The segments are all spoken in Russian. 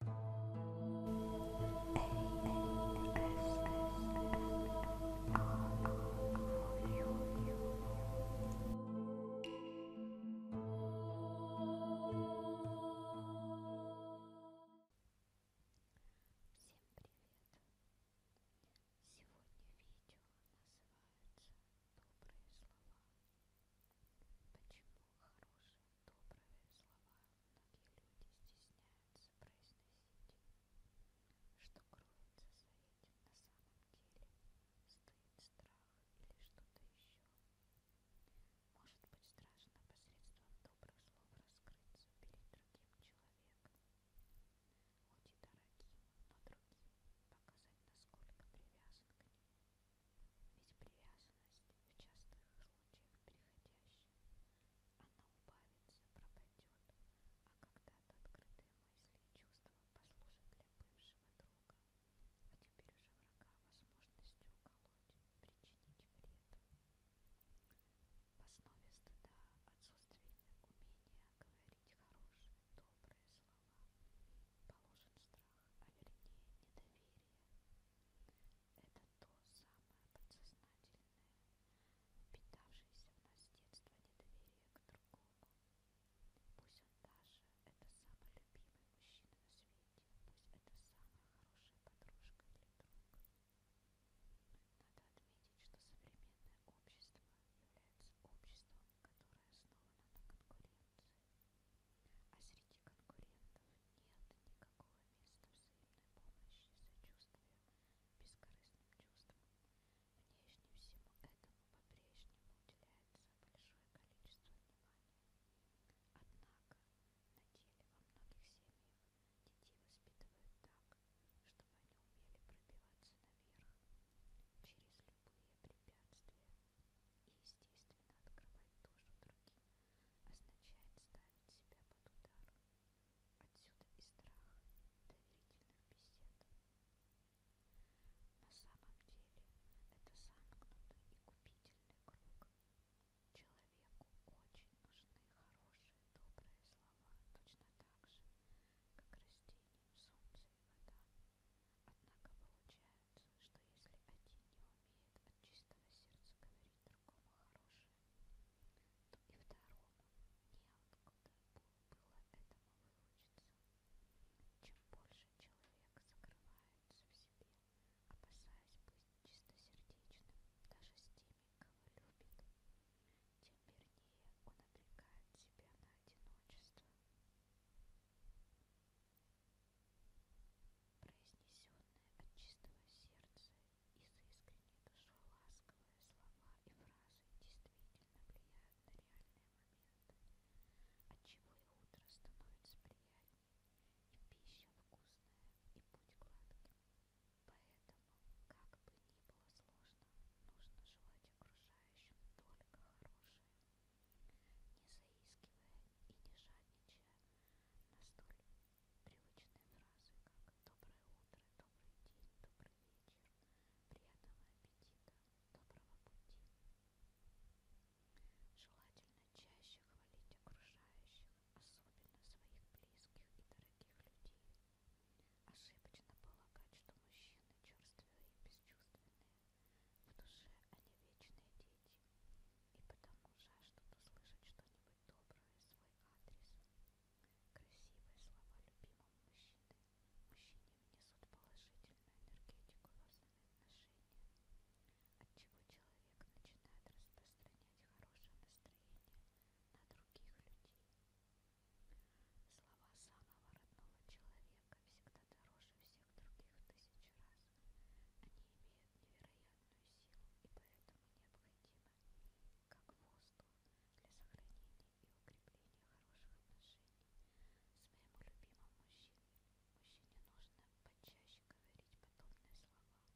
Сегодня видео называется «Добрые слова». Почему хорошие, добрые слова многие люди стесняются произносить? Что кроется за этим на самом деле? Стыд, страх или что-то еще? Может быть страшно посредством добрых слов раскрыться перед другим человеком? Хоть и дорогим, но другим показать, насколько привязан к нему. Ведь привязанность в частых случаях переходящая, она убавится, пропадет, а когда-то открытые мысли и чувства послужат для бывшего друга, а теперь уже врага возможностью уколоть, причинить вред. В основе стыда отсутствие умения говорить хорошие, добрые слова, положен страх, а вернее недоверие. Это то самое подсознательное, впитавшееся в нас с детства недоверие к другому. Пусть он даже это самый любимый мужчина на свете, пусть это самая хорошая подружка или друг. Надо отметить, что современное общество является обществом, которое основано на конкуренции. А среди конкурентов нет никакого места взаимной помощи, сочувствия, бескорыстным чувствам. Внешне всему этому по-прежнему уделяется большое количество внимания. Однако на деле во многих семьях детей воспитывают так, чтобы они умели пробиваться наверх через любые препятствия и естественно открывать душу другим означает ставить себя под удар. Отсюда и страх доверительных бесед. На самом деле это замкнутый и купительный круг. Человеку очень нужны хорошие, добрые слова, точно так же, как растениям солнце и вода. Однако получается, что если один не умеет от чистого сердца говорить другому хорошее, то и второму неоткуда было этому выучиться. Чем больше человек закрывается в себе, опасаясь быть чистосердечным даже с теми, кого любит, тем тем вернее он обрекает себя на одиночество. Произнесенные от чистого сердца из искренней души ласковые слова и фразы действительно влияют на реальные моменты, отчего и утро становится приятнее, и пища вкусная, и путь гладким. Поэтому Поэтому, как бы ни было сложно, нужно желать окружающим только хорошее, не заискивая и не жадничая на столь привычные фразы, как «доброе утро», «добрый день», «добрый вечер», «приятного аппетита», «доброго пути». Желательно чаще хвалить окружающих, особенно своих близких и дорогих людей, Ошибочно полагать, что мужчины черствые и бесчувственные. В душе они вечные дети, и потому жаждут услышать что-нибудь доброе в свой адрес. Красивые слова любимого мужчины. Мужчине внесут положительную энергетику во взаимоотношения, отчего человек начинает распространять хорошее настроение на других людей. Слова самого родного человека всегда дороже всех других в тысячи раз. Они имеют невероятную силу и поэтому необходимы, как воздух, для сохранения и укрепления хороших отношений с моему любимым мужчиной. Мужчине нужно почаще говорить подобные слова.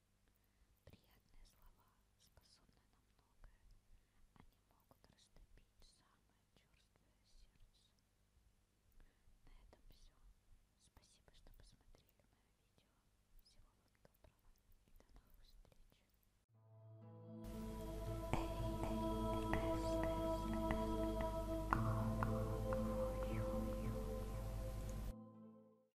Приятные слова способны на многое. Они могут растопить самое черствое сердце. На этом все. Спасибо, что посмотрели мое видео. Всего вам доброго и до новых встреч.